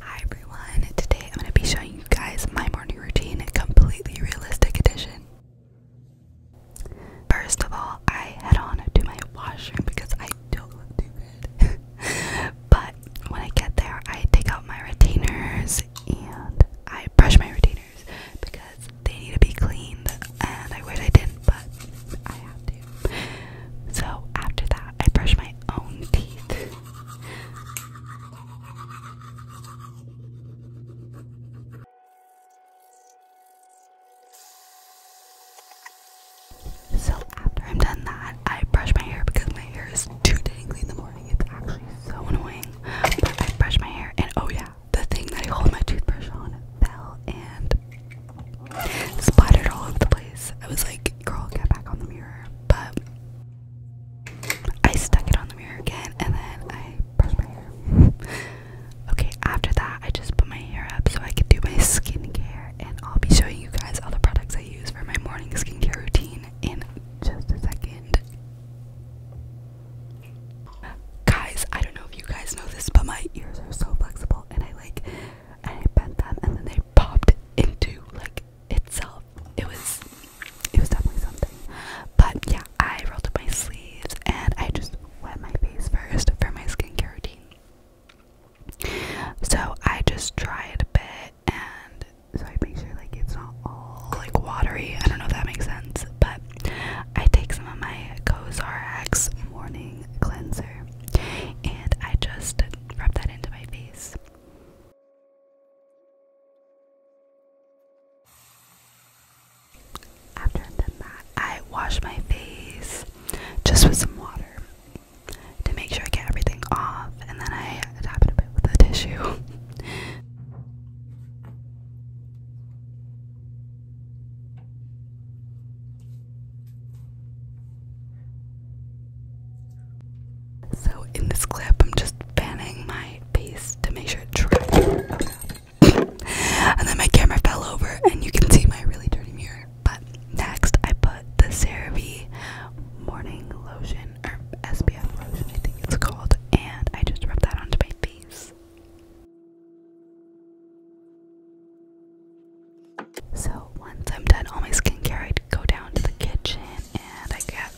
Hi everyone, today I'm going to be showing you guys my morning routine, a completely realistic edition. First of all, I head on to my washroom because I don't look too good. but when I get there, I take out my retainers and I brush my retainers because they need to be cleaned and I wish I didn't, but I have to. So after that, I brush my own teeth. So after I'm done that, I brush my hair because my hair is too dangly in the morning. It's actually so annoying. But I brush my hair and oh yeah, the thing that I hold my toothbrush on fell and splattered all over the place. I was like, girl, get back on the mirror. But I stuck it on the mirror again and then I brushed my hair. okay, after that, I just put my hair up so I could do my skincare, and I'll be showing you guys all the products I use for my morning skincare routine in just a second. Guys, I don't know if you guys know this, but my ears are so flexible and I like I bent them and then they popped into like itself. It was it was definitely something. But yeah, I rolled up my sleeves and I just wet my face first for my skincare routine. So I just dried a bit and so I make sure like it's not all like watery. I don't know if that makes sense, but I take some of my Cozarax morning cleanser and I just rub that into my face. After i done that, I wash my face just with some water to make sure I get everything off, and then I tap it a bit with a tissue. So in this clip, I'm just fanning my face to make sure it dries. and then my camera fell over, and you can see my really dirty mirror. But next, I put the CeraVe morning lotion or SPF lotion, I think it's called, and I just rub that onto my face. So once I'm done all my skincare, I go down to the kitchen and I get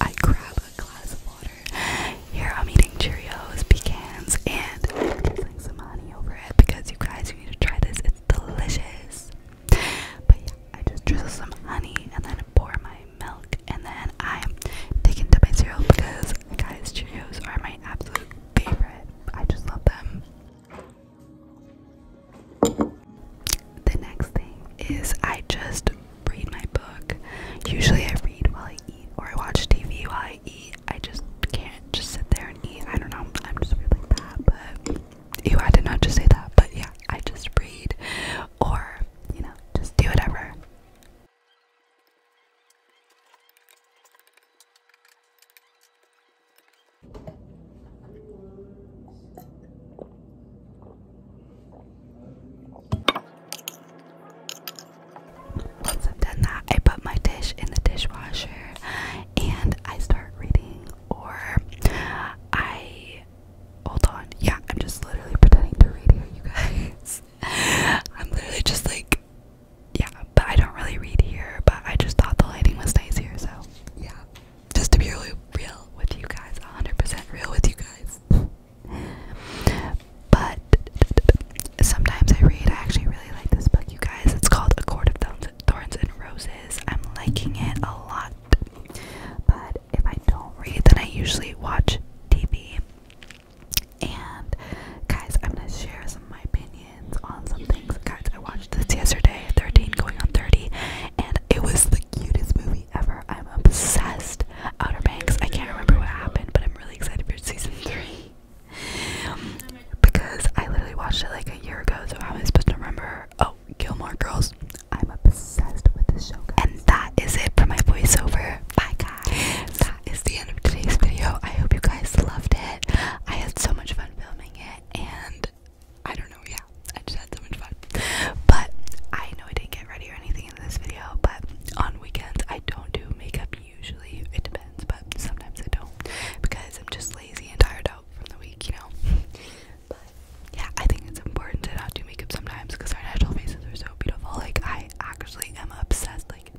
I grab a glass of water. Here I'm eating Cheerios, pecans, and drizzling some honey over it because you guys, you need to try this. It's delicious. But yeah, I just drizzle some honey and then pour my milk and then I'm taking to my cereal because guys Cheerios are my absolute favorite. I just love them. The next thing is I just read my book. Usually I read while I eat or I watch TV while I eat. I just can't just sit there and eat. I don't know. I'm just weird like that, but ew, I did not just say that, but yeah, I just read or, you know, just do whatever. Once I've done that, I put my dish in the dishwasher and I start reading, or I Hold on. Yeah, I'm just literally pretending to read here, you guys. I'm literally just like, yeah, but I don't really read here, but I just thought the lighting was nice here, so yeah. Just to be really real with you guys, 100% real with you guys. but sometimes I read, I actually really like this book, you guys. It's called A Court of Thorns and Roses. I'm liking it a lot but if I don't read, then I usually watch TV. And guys, I'm gonna share some of my opinions on some things. Guys, I watched this yesterday, 13 going on 30, and it was the cutest movie ever. I'm obsessed. Outer Banks. I can't remember what happened, but I'm really excited for season three because I literally watched it like a year ago, so how am I supposed to remember? Oh, Gilmore Girls. I'm obsessed with this show, And that is it for my voiceover. Bye, guys. That is the end of today's video. I hope you guys loved it. I had so much fun filming it, and I don't know, yeah, I just had so much fun. But I know I didn't get ready or anything in this video, but on weekends I don't do makeup usually. It depends, but sometimes I don't because I'm just like lazy and tired out from the week, you know. but yeah, I think it's important to not do makeup sometimes because our natural faces are so beautiful. Like I actually am obsessed. Like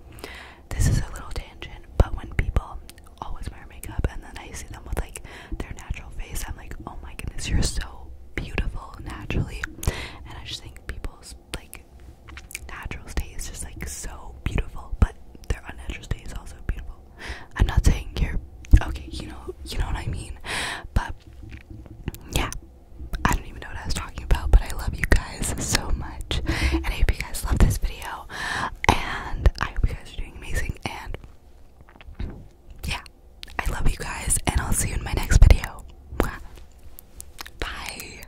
this is a little tangent, but when people always wear makeup and then I see them with like their natural face, I'm like, oh my goodness, you're so beautiful naturally. And I just think people's like natural state is just like so beautiful, but their unnatural state is also beautiful. I'm not saying you're okay, you know, you know what I mean, but yeah, I don't even know what I was talking about, but I love you guys so much, and I hope you guys love this video, and I hope you guys are doing amazing, and yeah, I love you guys, and I'll see you in my next video. Bye.